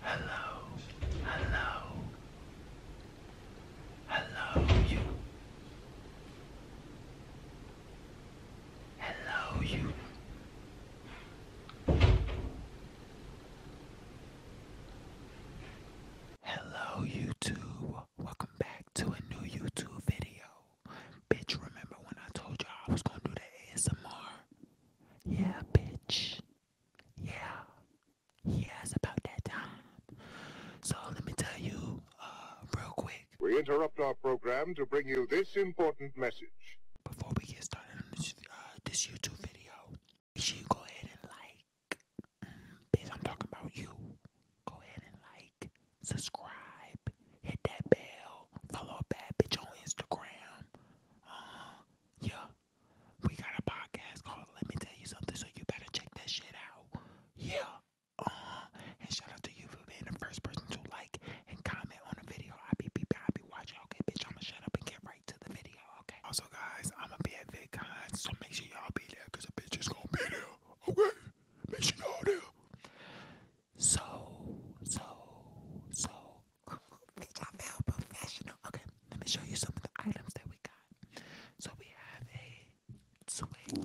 Hello, hello, hello, you. Hello, you. Hello, YouTube. Welcome back to a new YouTube video. Bitch, remember when I told you I was gonna do the ASMR? Yeah, bitch. Yeah. Yes, about that time. So let me tell you, uh, real quick. We interrupt our program to bring you this important message. Before we get started on this, uh, YouTube video, make sure you go ahead and like. Mm, bitch, I'm talking about you. Go ahead and like, subscribe, hit that bell, follow Bad Bitch on Instagram. Uh, yeah. We got a podcast called Let Me Tell You Something, so you better check that shit out. Yeah. uh And shout out to you for being the first person to like and comment on the video. I be peeping, I be watching. Okay, bitch, I'ma shut up and get right to the video. Okay. Also, guys, I'ma be at VidCon, so make sure y'all be there, cause the bitch is gonna be there. Okay. Make sure y'all there so, so, so professional. Okay, let me show you some of the items that we got. So we have a swing.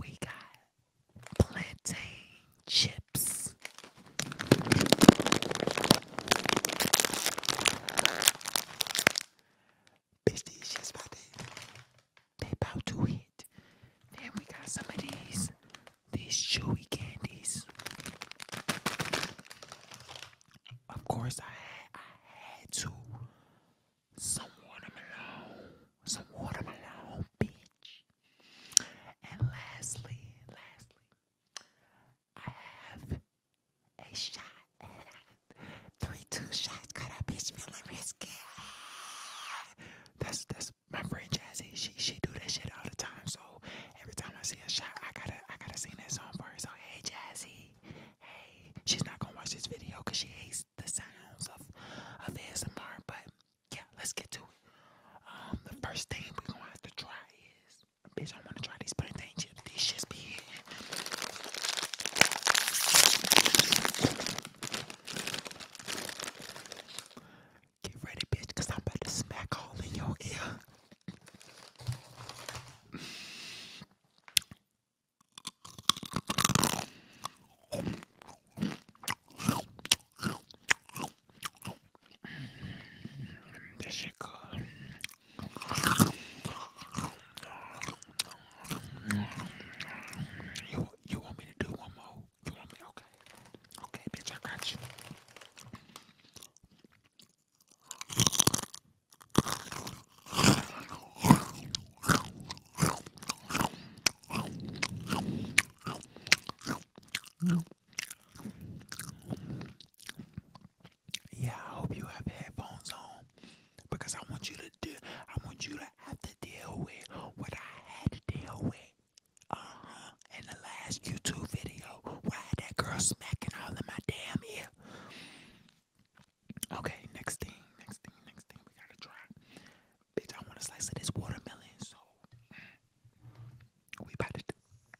We got plantain chips. Bitch, these shit's about to They about to hit. Then we got some of these. These chewy candies. Of course, I had, I had to. Some watermelon. Some watermelon, bitch. And lastly, lastly, I have a shot at 22 shots cut up, bitch, feeling risky. That's that's my friend Jazzy. She she do that shit all the time. So every time I see a shot, I gotta I gotta sing that song for her. So hey Jazzy, hey. She's not gonna watch this video because she hates the sounds of of S M R. But yeah, let's get to it. Um, the first thing we're gonna have to try is, bitch, I wanna try these plantain chips. These shits Get ready, bitch, because I'm about to smack all in your ear. this shit good. You, you want me to do one more? You want me? Okay. Okay, bitch, I got you. Yeah, I hope you have headphones on because I want you to do. I want you to have to deal with what I had to deal with. Uh huh. In the last YouTube video, why that girl smacking all in my damn ear? Okay, next thing, next thing, next thing. We gotta try. Bitch, I want a slice of this watermelon, so we about to.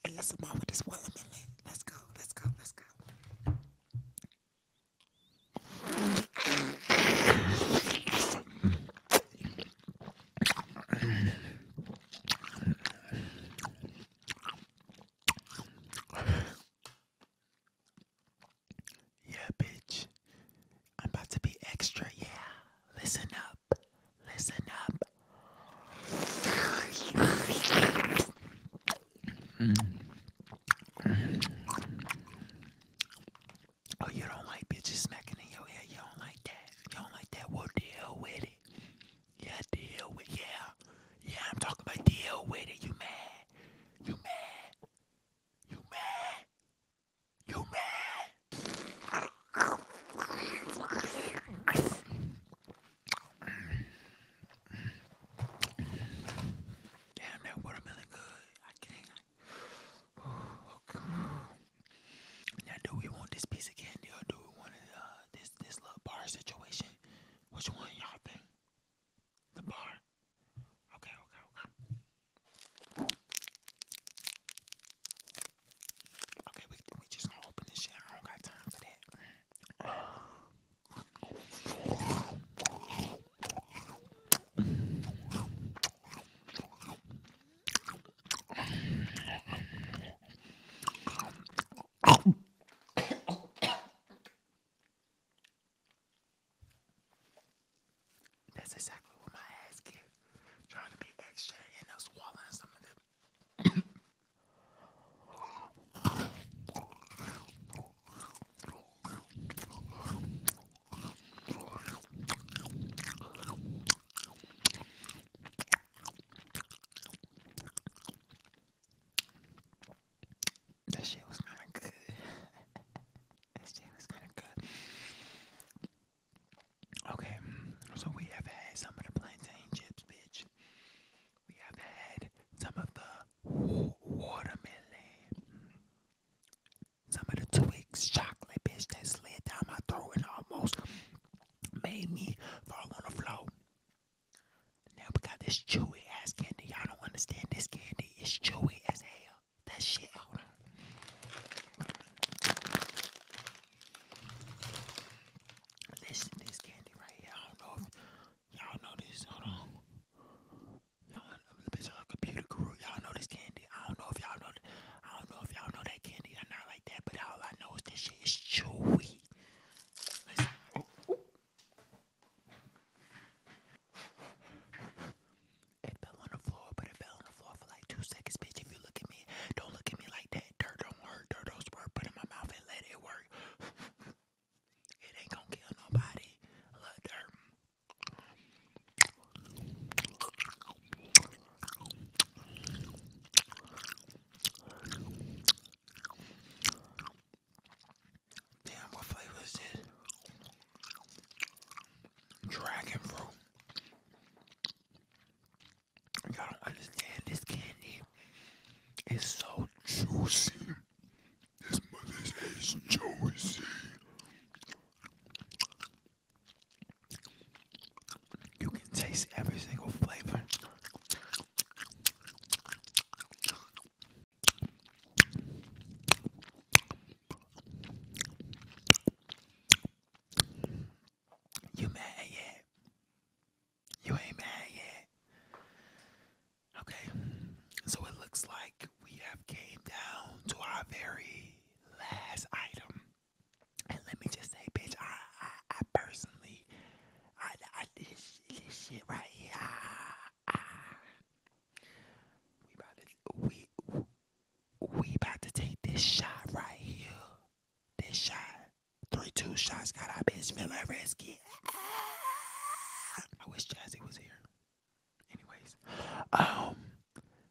And let's move with this watermelon. Let's go, let's go, let's go. Yeah, bitch. I'm about to be extra, yeah. Listen up. Listen up. Oh, you don't like bitches smacking in your head. You don't like that. You don't like that. Well, deal with it. Yeah, deal with it. Yeah. Yeah, I'm talking about deal with it. You mad? You mad? You mad? You mad? Damn, that watermelon good. I can't. Oh, now, do we want this piece of candy or do we want uh, this this little bar situation? Which one y'all think? The bar. Okay, okay, okay. Okay, we we just gonna open this shit. I don't got time for that. That's exactly what my ass get. Trying to be extra and I'm swallowing some of the that shit was kind of good. that shit was kind of good. Okay, so we have some of the plantain chips, bitch. We have had some of the watermelon, some of the Twix chocolate bitch that slid down my throat and almost made me fall on the floor. Now we got this chewy ass candy. Y'all don't understand this candy. It's chewy as hell. That shit, hold on. This this candy right here. I don't know if y'all know this. Hold on. Y'all bitch on computer guru. Y'all know this candy. I don't know if y'all know. I don't know if y'all know that candy or not like that. But all I know is this shit is chewy. It fell on the floor, but it fell on the floor for like two seconds, bitch. If you look at me, don't look at me like that dirt don't work. Dirt don't squirt. Put in my mouth and let it work. it ain't gonna kill nobody. love dirt. Damn, what flavor is this? Dragon fruit. Y'all don't understand this candy is so juicy. This mother's is juicy. You can taste every single flavor. You mad yet? You ain't mad yet. Okay, so it looks like we have came down to our very last item. And let me just say, bitch, I, I, I personally, I, I this, this shit right here. I, ah, ah we about to take this shot right here. This shot. Three, two shots. Got our bitch feeling risky. I wish Jazzy was here. Anyways, um,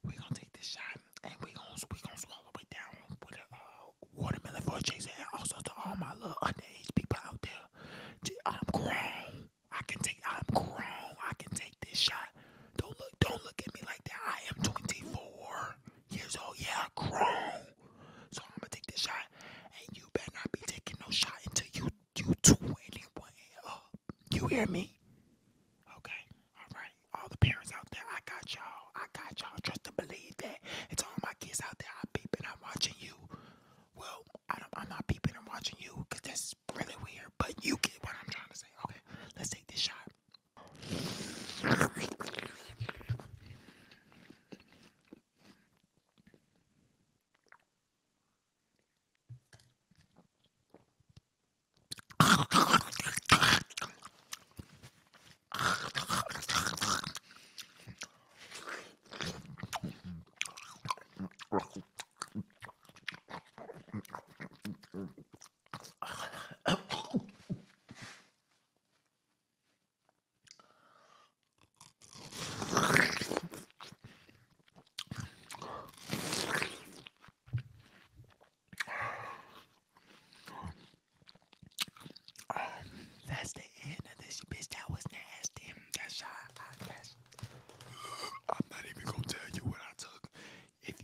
we gonna take this shot and we gonna we gonna swallow it down with a uh, watermelon for Jazzy. and also to all my little underage people out there. I'm grown. I can take. I'm grown. I can take take this shot. Don't look, don't look at me like that. I am 24 years old. Yeah, grown. So I'm gonna take this shot, and you better not be taking no shot until you you 21 up. You hear me? Okay. All right. All the parents out there, I got y'all. I got y'all. Trust and believe that. It's all my kids out there. i peeping. I'm watching you. Well, I am not peeping. i watching you because that's really weird but you get what I'm trying to say. Okay, let's take this shot. That's the end of this bitch. That was nasty. That's all. That's I'm not even gonna tell you what I took. If,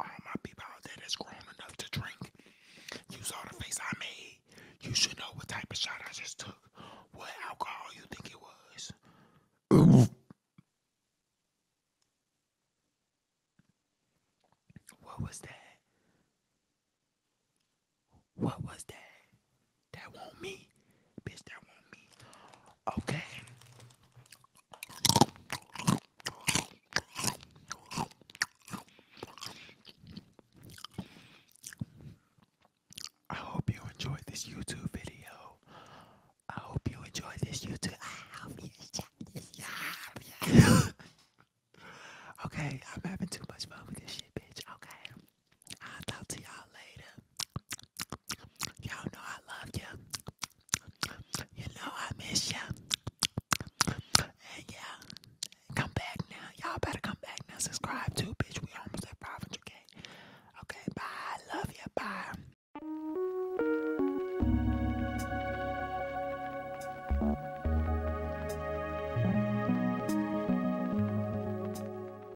all my people out there grown enough to drink, you saw the face I made. You should know what type of shot I just took. What alcohol you think it was? what was that? What was that? That will me. Bitch, that will me. Okay. I hope you enjoyed this YouTube video. I hope you enjoyed this YouTube. okay, I'm having too much fun with this shit, bitch. Okay. I'll talk to y'all later. Y'all know I love you. You know I miss you. And yeah, come back now. Y'all better come back now. Subscribe too, bitch. We almost at 500k. Okay, bye. love you. Bye.